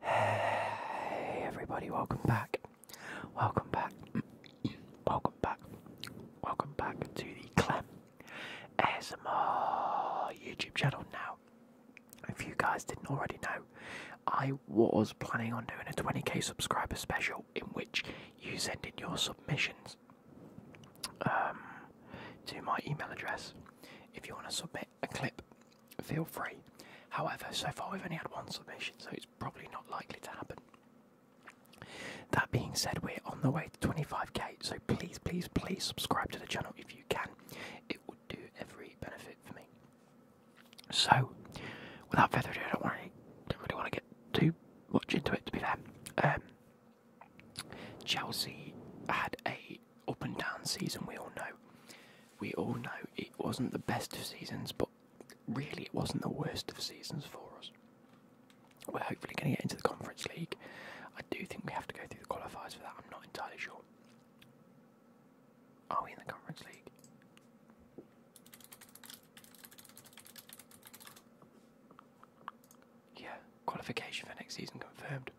Hey everybody, welcome back. Welcome back. welcome back. Welcome back to the Clem ASMR YouTube channel now. If you guys didn't already know, I was planning on doing a 20k subscriber special in which you send in your submissions um, to my email address. If you want to submit a clip, feel free. However, so far we've only had one submission, so it's probably not likely to happen. That being said, we're on the way to 25k, so please, please, please subscribe to the channel if you can. It would do every benefit for me. So, without further ado, I don't, worry, don't really want to get too much into it, to be fair. Um, Chelsea had a up and down season. We all know. We all know it wasn't the best of seasons, but really it wasn't the worst of seasons for us. We're hopefully going to get into the Conference League. I do think we have to go through the qualifiers for that. I'm not entirely sure. Are we in the Conference League? Yeah, qualification for next season confirmed.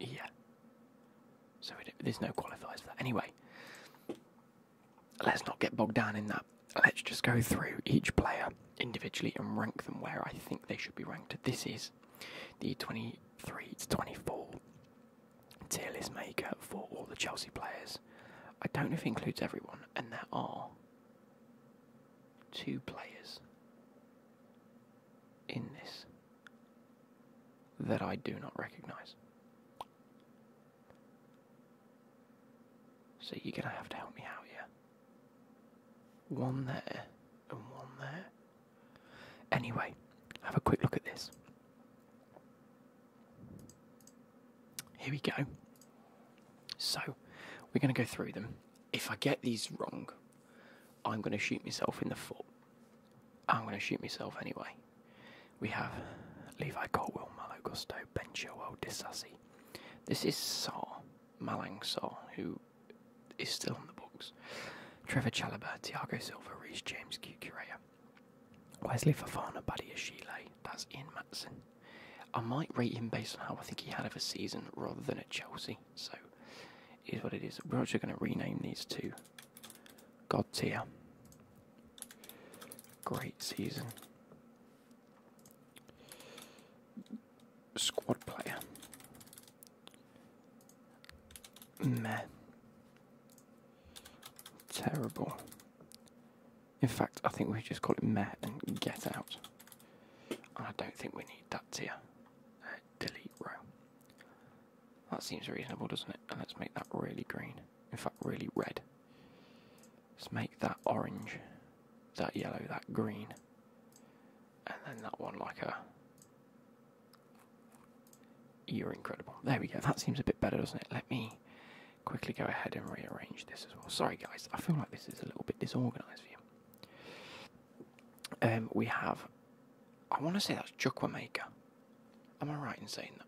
Yeah. So there's no qualifiers for that. Anyway, let's not get bogged down in that. Let's just go through each player individually and rank them where I think they should be ranked. This is the 23 to 24 tier list maker for all the Chelsea players. I don't know if it includes everyone, and there are two players in this that I do not recognise. So you're going to have to help me out here. One there and one there. Anyway, have a quick look at this. Here we go. So, we're going to go through them if I get these wrong, I'm going to shoot myself in the foot. I'm going to shoot myself anyway. We have Levi Colwell, Malo Gusto, Ben Chilwell, Disassi. This is Saar, Malang Saar, who is still in the books. Trevor Chalobah, Tiago Silva, Reese James, Cucurea. Wesley Fofana, Buddy Shile, that's In Matson, I might rate him based on how I think he had of a season rather than at Chelsea. So, it is what it is. We're actually going to rename these two God tier. Great season. Squad player. Meh. Terrible. In fact, I think we just call it meh and get out. I don't think we need that tier. Uh, delete row. That seems reasonable, doesn't it? And let's make that really green. In fact, really red. Let's make that orange, that yellow, that green. And then that one like a... You're incredible. There we go. That seems a bit better, doesn't it? Let me quickly go ahead and rearrange this as well. Sorry, guys. I feel like this is a little bit disorganized for you. Um, we have, I want to say that's Chukwamaker. Am I right in saying that?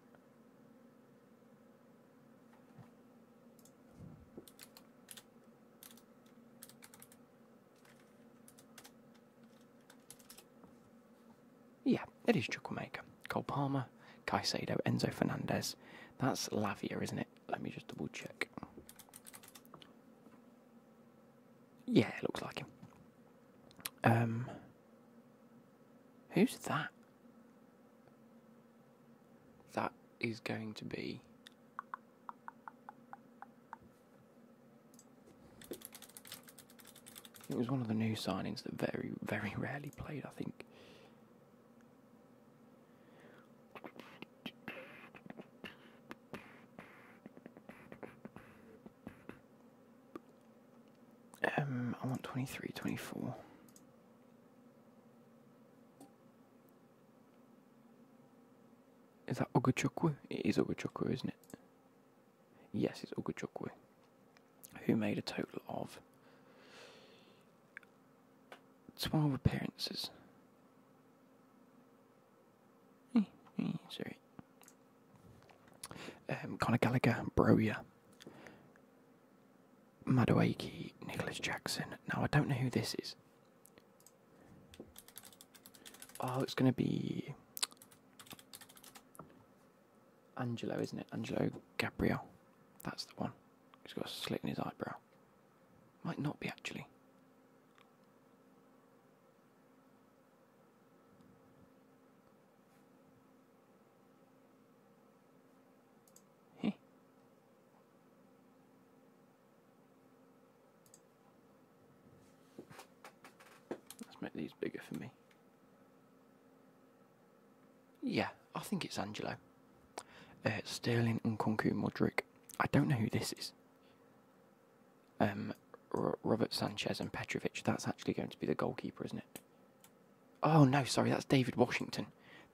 Yeah, it is Chukwamaker. Cole Palmer, Caicedo, Enzo Fernandez. That's Lavia, isn't it? Let me just double check. Yeah, it looks like him. Um, who's that? That is going to be. It was one of the new signings that very, very rarely played, I think. Um, I want 23, 24. Is that Oguchukwu? It is Oguchukwu, isn't it? Yes, it's Oguchukwu. Who made a total of Twelve appearances. Eh, eh, sorry. Um, Conor Gallagher, Broya, Madueke, Nicholas Jackson. Now I don't know who this is. Oh, it's going to be Angelo, isn't it? Angelo Gabriel. That's the one. He's got a slit in his eyebrow. Might not be actually. Heh. Let's make these bigger for me. Yeah, I think it's Angelo. Uh, Sterling and Nkunku Modric. I don't know who this is. Um, Robert Sanchez and Petrovich. That's actually going to be the goalkeeper, isn't it? Oh no, sorry, that's David Washington.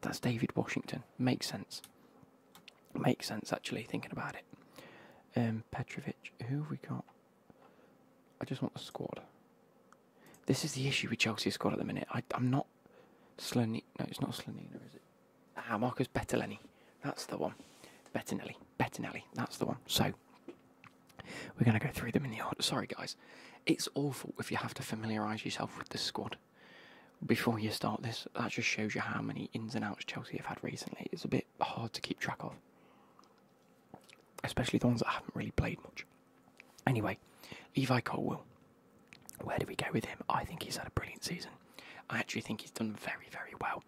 That's David Washington. Makes sense. Makes sense actually thinking about it. Um, Petrovic. Who have we got? I just want the squad. This is the issue with Chelsea's squad at the minute. I'm not Slonina. No, it's not Slonina, is it? Ah, Marcus Bettinelli. That's the one. Bettinelli. Bettinelli. That's the one. So, we're going to go through them in the order. Sorry, guys. It's awful if you have to familiarise yourself with the squad before you start this. That just shows you how many ins and outs Chelsea have had recently. It's a bit hard to keep track of, especially the ones that haven't really played much. Anyway, Levi Colwell. Where do we go with him? I think he's had a brilliant season. I actually think he's done very, very well,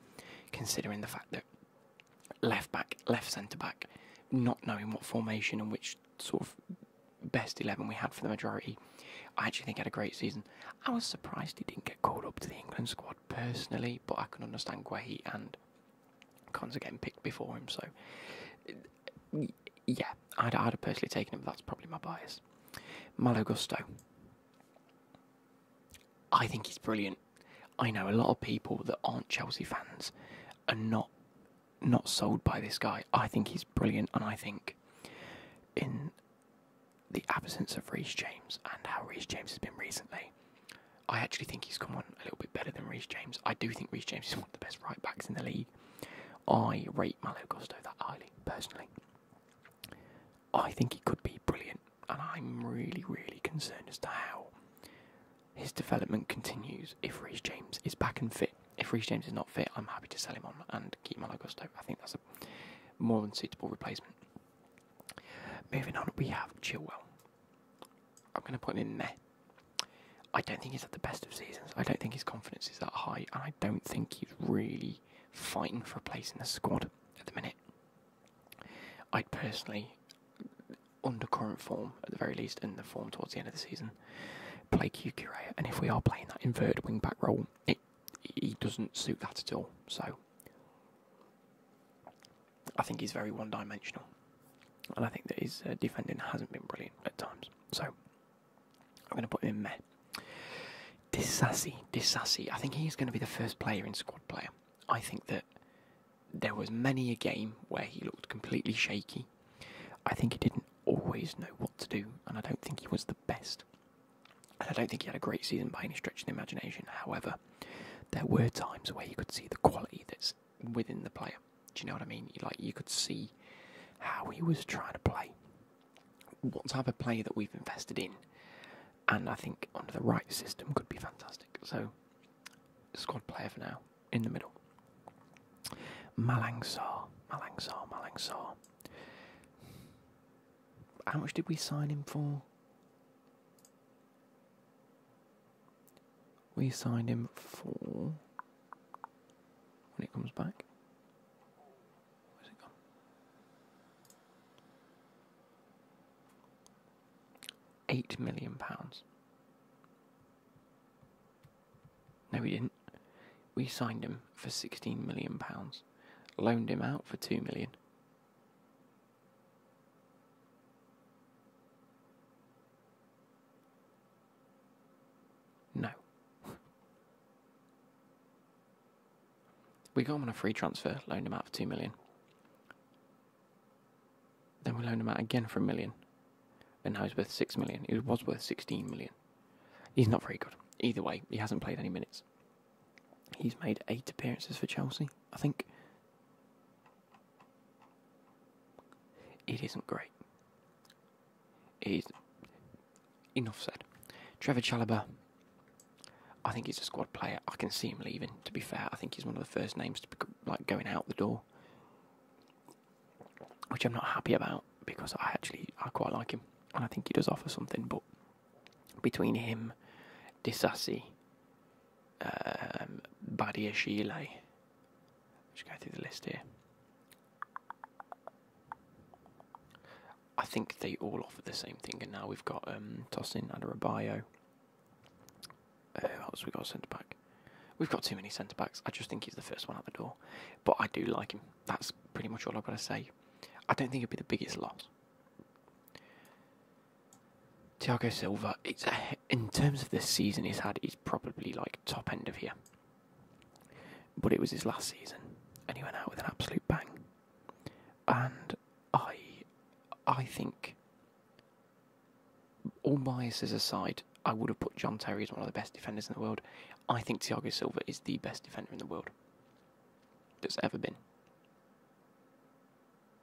considering the fact that left back, left centre back, not knowing what formation and which sort of best 11 we had for the majority, I actually think he had a great season. I was surprised he didn't get called up to the England squad personally, but I can understand why he and Cons are getting picked before him, so yeah, I'd, I'd have personally taken him, but that's probably my bias. Malo Gusto. I think he's brilliant. I know a lot of people that aren't Chelsea fans are not not sold by this guy. I think he's brilliant, and I think in the absence of Reece James and how Reece James has been recently, I actually think he's come on a little bit better than Reece James. I do think Reece James is one of the best right backs in the league. I rate Malo Gusto that highly, personally. I think he could be brilliant, and I'm really, really concerned as to how his development continues if Reece James is back and fit. If Reece James is not fit, I'm happy to sell him on and keep Malo Gusto. I think that's a more than suitable replacement. Moving on, we have Chillwell. I'm going to put him in there. I don't think he's at the best of seasons. I don't think his confidence is that high, and I don't think he's really fighting for a place in the squad at the minute. I'd personally, under current form at the very least, and the form towards the end of the season, play Cucurella. And if we are playing that inverted wingback role, it he doesn't suit that at all. So I think he's very one dimensional, and I think that his uh, defending hasn't been brilliant at times. So I'm going to put him in there. Disassi, Disassi. I think he's going to be the first player in squad player. I think that there was many a game where he looked completely shaky. I think he didn't always know what to do, and I don't think he was the best. And I don't think he had a great season by any stretch of the imagination. However, there were times where you could see the quality that's within the player. Do you know what I mean? Like you could see how he was trying to play, what type of player that we've invested in, and I think under the right system could be fantastic. So squad player for now in the middle. Malang Sar, Malang Sar, Malang Sar. How much did we sign him for? We signed him for when it comes back. Where's it gone? Eight million pounds. No, we didn't. We signed him for sixteen million pounds, loaned him out for two million. No. we got him on a free transfer, loaned him out for 2 million. Then we loaned him out again for a million. And now he's worth 6 million. He was worth 16 million. He's not very good. Either way, he hasn't played any minutes. He's made eight appearances for Chelsea, I think. It isn't great. It is enough said. Trevor Chalobah, I think he's a squad player. I can see him leaving. To be fair, I think he's one of the first names to be like going out the door, which I'm not happy about because I actually I quite like him and I think he does offer something. But between him, Disassi, um, Badia Shile, just go through the list here. I think they all offer the same thing, and now we've got um, Tosin Adarabio. Uh, what else we got centre back? We've got too many centre backs. I just think he's the first one out the door, but I do like him. That's pretty much all I've got to say. I don't think he would be the biggest loss. Thiago Silva, it's in terms of this season he's had, he's probably like top end of here. But it was his last season, and he went out with an absolute bang. And I, I think, all biases aside, I would have put John Terry as one of the best defenders in the world. I think Thiago Silva is the best defender in the world that's ever been.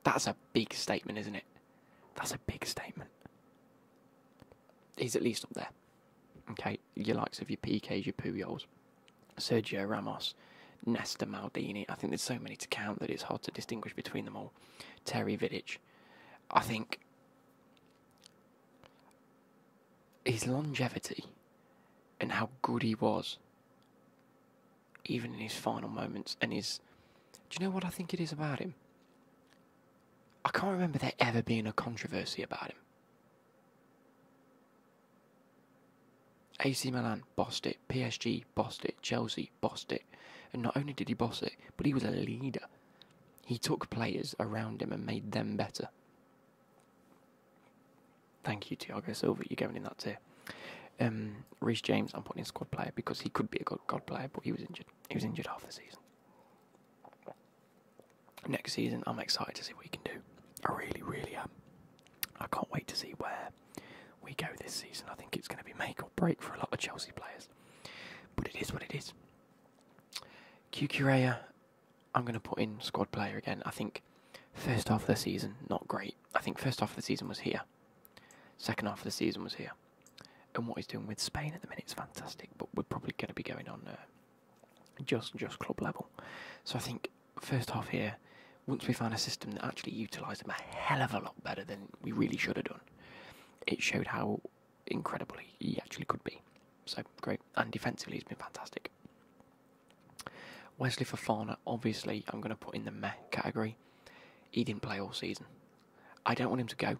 That's a big statement, isn't it? That's a big statement. He's at least up there. Okay, your likes of your PKs, your Puyols, Sergio Ramos, Nesta Maldini. I think there's so many to count that it's hard to distinguish between them all. Terry Vidic. I think his longevity and how good he was, even in his final moments, and his. Do you know what I think it is about him? I can't remember there ever being a controversy about him. AC Milan bossed it, PSG bossed it, Chelsea bossed it. And not only did he boss it, but he was a leader. He took players around him and made them better. Thank you, Thiago Silva. You're going in that tier. Um, James, I'm putting in squad player because he could be a good player, but he was injured. He was injured half the season. Next season, I'm excited to see what he can do. I really, really am. I can't wait to see where we go this season. I think it's going to be make or break for a lot of Chelsea players. But it is what it is. Cucurella, I'm going to put in squad player again. I think first half of the season, not great. I think first half of the season was here. Second half of the season was here and what he's doing with Spain at the minute is fantastic. But we're probably going to be going on uh, just just club level. So I think first half here, once we found a system that actually utilised him a hell of a lot better than we really should have done, it showed how incredibly he, he actually could be. So great, and defensively he's been fantastic. Wesley Fofana, obviously, I'm going to put in the meh category. He didn't play all season. I don't want him to go.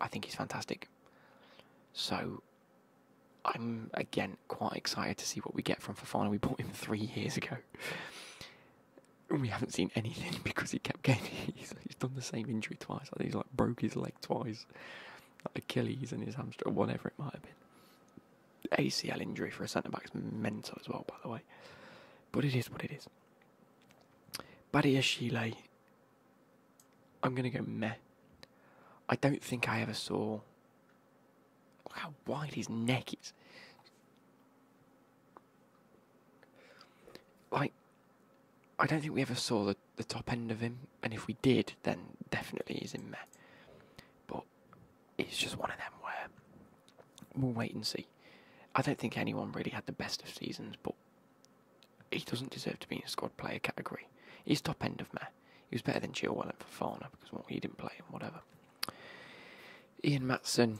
I think he's fantastic. So I'm again quite excited to see what we get from Fofana. We bought him three years ago. we haven't seen anything because he kept getting he's, done the same injury twice. he's like broke his leg twice. Like Achilles and his hamstring, whatever it might have been. ACL injury for a centre back's mental as well, by the way. But it is what it is. Badiashile, I'm going to go meh. I don't think I ever saw. how wide his neck is. Like, I don't think we ever saw the, the top end of him, and if we did, then definitely he's in meh. But it's just one of them where we'll wait and see really. I don't think anyone really had the best of seasons, but he doesn't deserve to be in the squad player category. He's top end of Meh. He was better than Chilwell and Fafana because well, he didn't play and whatever. Ian Matson,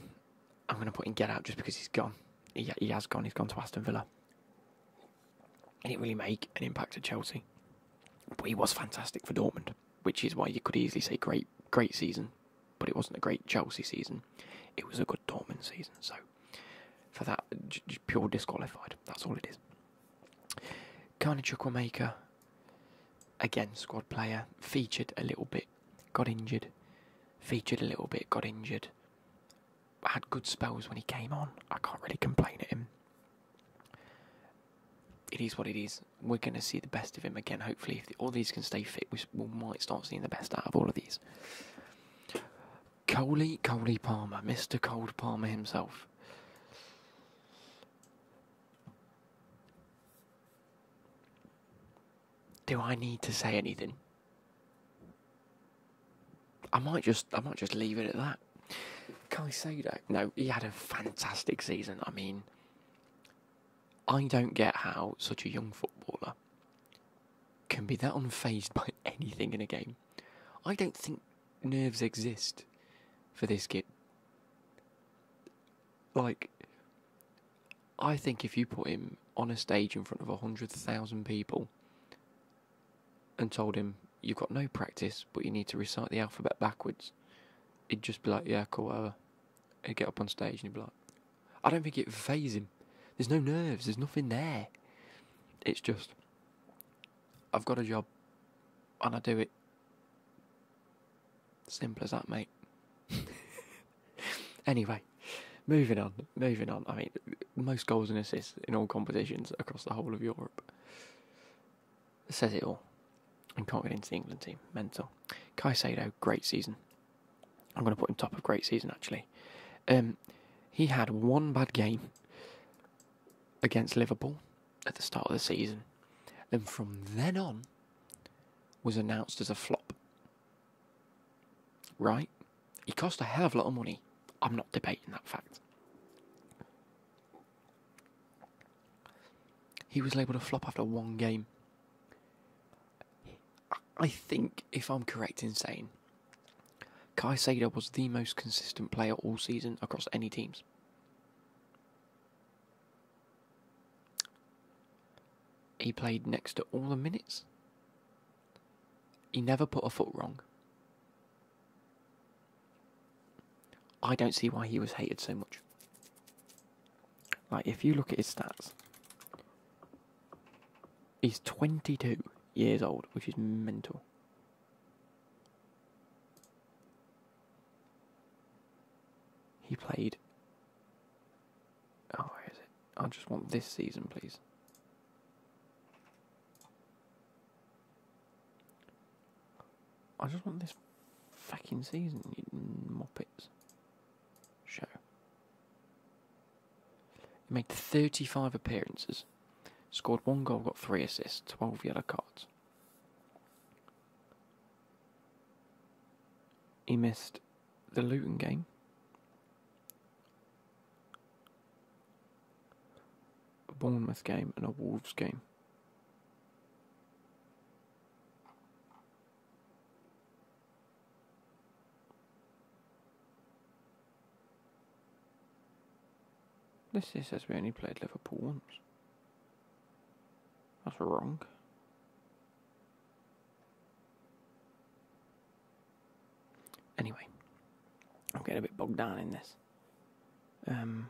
I'm going to put in get out just because he's gone. He, he has gone. He's gone to Aston Villa. He didn't really make an impact at Chelsea, but he was fantastic for Dortmund, which is why you could easily say great, great season but it wasn't a great Chelsea season. It was a good Dortmund season. So for that, pure disqualified. That's all it is. Carnage Maker, again, squad player, featured a little bit, got injured, featured a little bit, got injured. Had good spells when he came on. I can't really complain at him. It is what it is. We're going to see the best of him again, hopefully if all these can stay fit, we, might start seeing the best out of all of these. Coley, Coley Palmer, Mr. Cold Palmer himself. Do I need to say anything? I might just I might just leave it at that. Can say that? no, he had a fantastic season. I mean, I don't get how such a young footballer can be that unfazed by anything in a game. I don't think nerves exist for this kid. Like, I think if you put him on a stage in front of a 100,000 people and told him, you've got no practice, but you need to recite the alphabet backwards, he'd just be like, yeah, cool, whatever he'd get up on stage and he'd be like, I don't think it phases him. There's no nerves. There's nothing there. It's just, I've got a job, and I do it. Simple as that, mate. anyway, moving on, moving on. I mean, most goals and assists in all competitions across the whole of Europe says it all. And can't get into the England team. Mental. Caicedo, great season. I'm going to put him top of great season actually. Um, he had one bad game against Liverpool at the start of the season, and from then on was announced as a flop. Right? He cost a hell of a lot of money. I'm not debating that fact. He was labelled a flop after one game. I think, if I'm correct in saying, Sada was the most consistent player all season across any teams. He played next to all the minutes. He never put a foot wrong. I don't see why he was hated so much. Like, if you look at his stats, he's 22 years old, which is mental. He played. Oh, where is it? I just want this season, please. I just want this fucking season, you moppets show. He made 35 appearances, scored one goal, got three assists, 12 yellow cards. He missed the Luton game. A Bournemouth game and a Wolves game. This is says we only played Liverpool once. That's wrong. Anyway, I'm getting a bit bogged down in this. Um,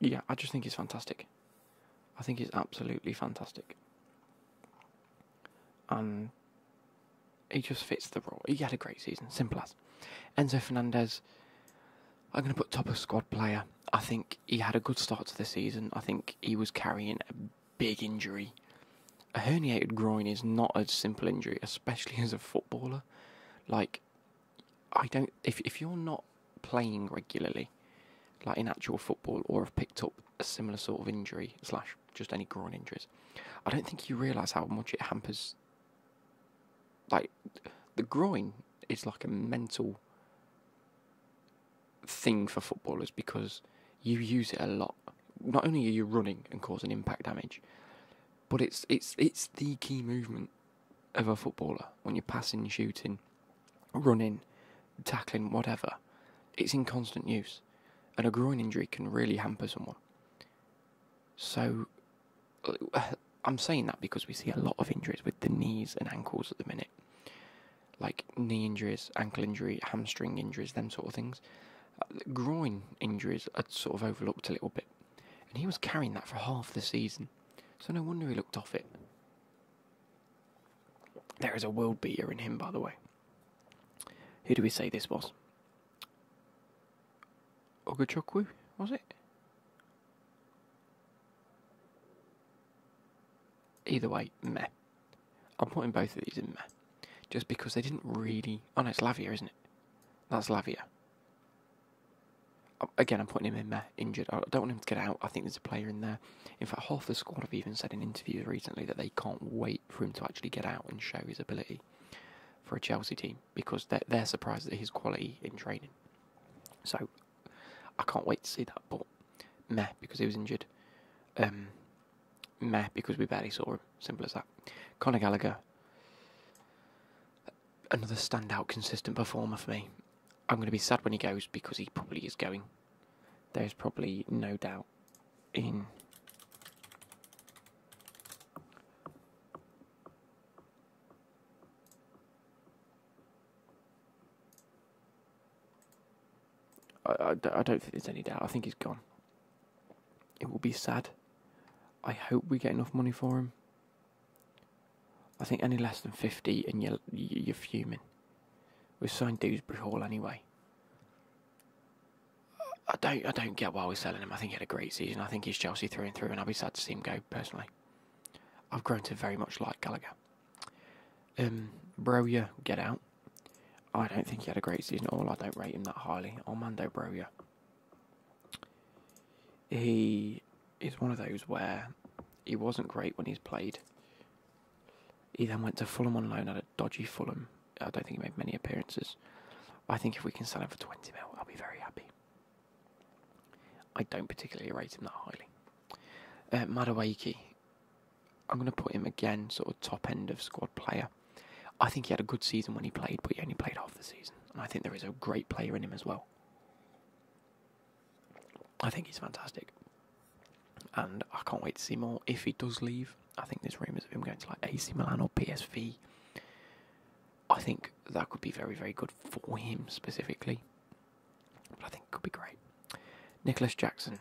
yeah, I just think he's fantastic. I think he's absolutely fantastic. And he just fits the role. He had a great season, simple as. Enzo Fernandez, I'm going to put top of squad player. I think he had a good start to the season. I think he was carrying a big injury. A herniated groin is not a simple injury, especially as a footballer. Like, I don't. If if you're not playing regularly, like in actual football, or have picked up a similar sort of injury slash just any groin injuries, I don't think you realise how much it hampers. Like, the groin is like a mental thing for footballers because you use it a lot. Not only are you running and causing impact damage, but it's it's it's the key movement of a footballer when you're passing, shooting, running, tackling, whatever. It's in constant use, and a groin injury can really hamper someone. So, I'm saying that because we see a lot of injuries with the knees and ankles at the minute, like knee injuries, ankle injury, hamstring injuries, them sort of things groin injuries had sort of overlooked a little bit, and he was carrying that for half the season, so no wonder he looked off it. There is a world beater in him, by the way. Who do we say this was? Ogachukwu, was it? Either way, meh. I'm putting both of these in there. Just because they didn't really... Oh no, it's Lavia, isn't it? That's Lavia. Again, I'm putting him in there, injured. I don't want him to get out. I think there's a player in there. In fact, half the squad have even said in interviews recently that they can't wait for him to actually get out and show his ability for a Chelsea team because they're, they're surprised at his quality in training. So, I can't wait to see that, but meh, because he was injured. Um, Meh, because we barely saw him. Simple as that. Conor Gallagher, another standout, consistent performer for me. I'm going to be sad when he goes because he probably is going. There's probably no doubt in I, I, don't think there's any doubt. I think he's gone. It will be sad. I hope we get enough money for him. I think any less than 50 and you're, fuming. We've signed Dewsbury Hall anyway. I don't I don't get why we're selling him. I think he had a great season. I think he's Chelsea through and through and I'll be sad to see him go personally. I've grown to very much like Gallagher. Um Broya, get out. I don't think he had a great season at all. I don't rate him that highly. Armando Broya. He is one of those where he wasn't great when he's played. He then went to Fulham on loan at a dodgy Fulham. I don't think he made many appearances. I think if we can sign him for 20 mil, I'll be very happy. I don't particularly rate him that highly. Uh, I'm going to put him again, sort of top end of squad player. I think he had a good season when he played, but he only played half the season. And I think there is a great player in him as well. I think he's fantastic. And I can't wait to see more. If he does leave, I think there's rumours of him going to like AC Milan or PSV. I think that could be very, very good for him specifically. I think it could be great. Nicholas Jackson.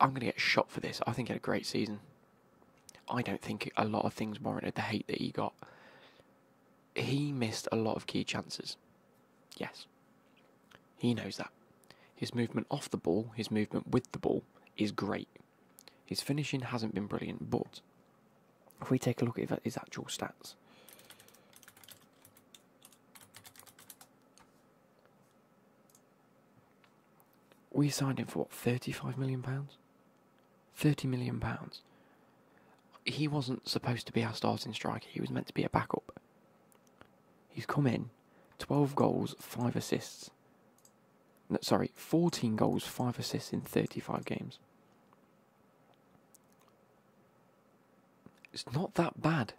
I'm going to get shot for this. I think he had a great season. I don't think a lot of things warranted the hate that he got. He missed a lot of key chances. Yes. He knows that. His movement off the ball, his movement with the ball is great. His finishing hasn't been brilliant, but if we take a look at his actual stats, we signed him for what, thirty-five million pounds? Thirty million pounds. He wasn't supposed to be our starting striker. He was meant to be a backup. He's come in, twelve goals, five assists. sorry, fourteen goals, five assists in thirty-five games it's not that bad.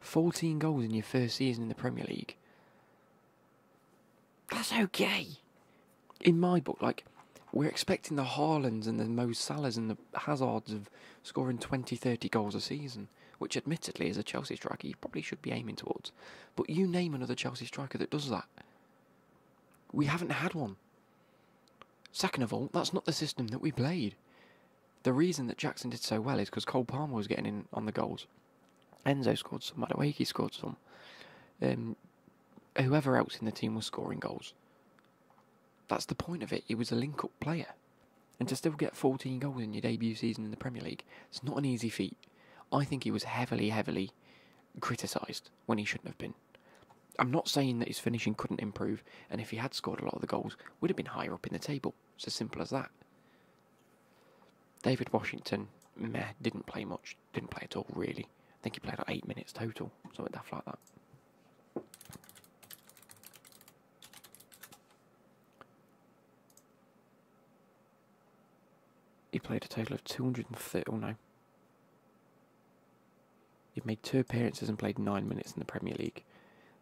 14 goals in your first season in the Premier League. That's okay. In my book, like, we're expecting the Haalands and the Mo Salahs and the Hazards of scoring 20, 30 goals a season, which admittedly, as a Chelsea striker, you probably should be aiming towards. But you name another Chelsea striker that does that. We haven't had one. Second of all, that's not the system that we played the reason that Jackson did so well is because Cole Palmer was getting in on the goals. Enzo scored some. Madueke scored some. Um, whoever else in the team was scoring goals. That's the point of it. He was a link-up player. And to still get 14 goals in your debut season in the Premier League, it's not an easy feat. I think he was heavily, heavily criticised when he shouldn't have been. I'm not saying that his finishing couldn't improve, and if he had scored a lot of the goals, would have been higher up in the table. It's as simple as that. David Washington, meh, didn't play much. Didn't play at all, really. I think he played like eight minutes total, something like that. He played a total of 230. Oh no. He made two appearances and played nine minutes in the Premier League.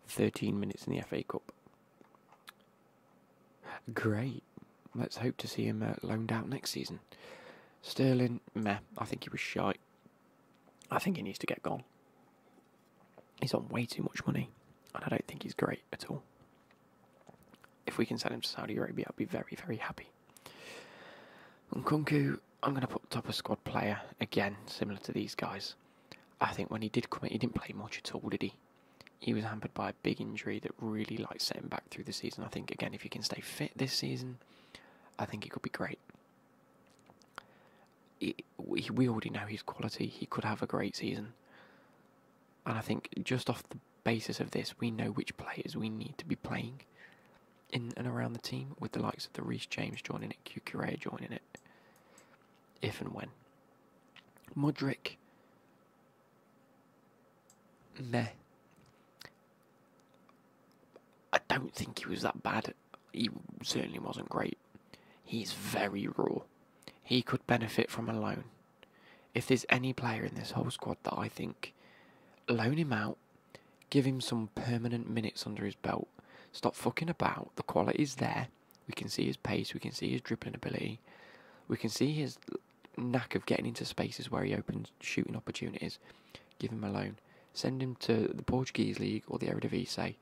13 minutes in the FA Cup. Great. Let's hope to see him uh, loaned out next season. Sterling, meh. I think he was shite. I think he needs to get gone. He's on way too much money, and I don't think he's great at all. If we can sell him to Saudi Arabia, I'd be very, very happy. Nkunku, I'm going to put top of squad player again, similar to these guys. I think when he did come in, he didn't play much at all, did he? He was hampered by a big injury that really like set him back through the season. I think again, if he can stay fit this season, I think it could be great. we, already know his quality. He could have a great season, and I think just off the basis of this, we know which players we need to be playing in and around the team, with the likes of the Reece James joining it, Cucurella joining it, if and when. Modric. meh. I don't think he was that bad. He certainly wasn't great. He's very raw. He could benefit from a loan. If there's any player in this whole squad that I think, loan him out, give him some permanent minutes under his belt. Stop fucking about. The quality is there. We can see his pace. We can see his dribbling ability. We can see his knack of getting into spaces where he opens shooting opportunities. Give him a loan. Send him to the Portuguese league or the Eredivisie.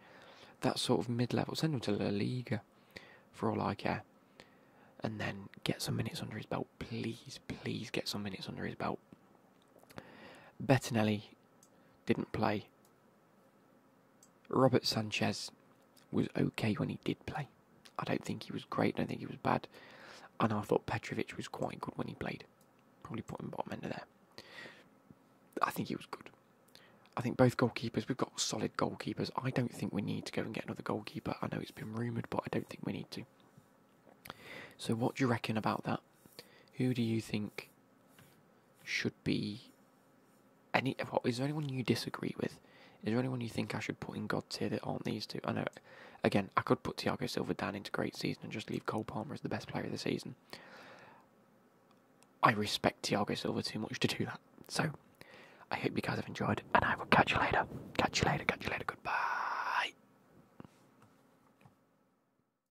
That sort of mid-level. Send him to La Liga, for all I care. And then get some minutes under his belt, please. Please get some minutes under his belt. Bettinelli didn't play Robert Sanchez was okay when he did play. I don't think he was great, I don't think he was bad. And I thought Petrovich was quite good when he played. Probably put him bottom end of there. I think he was good. I think both goalkeepers, we've got solid goalkeepers. I don't think we need to go and get another goalkeeper. I know it's been rumoured, but I don't think we need to. So, what do you reckon about that? Who do you think should be any is there anyone you disagree with? Is there anyone you think I should put in God tier that aren't these two? I know again, I could put Thiago Silva down into great season and just leave Cole Palmer as the best player of the season. I respect Thiago Silva too much to do that. So I hope you guys have enjoyed and I will catch you later. Catch you later, catch you later, goodbye.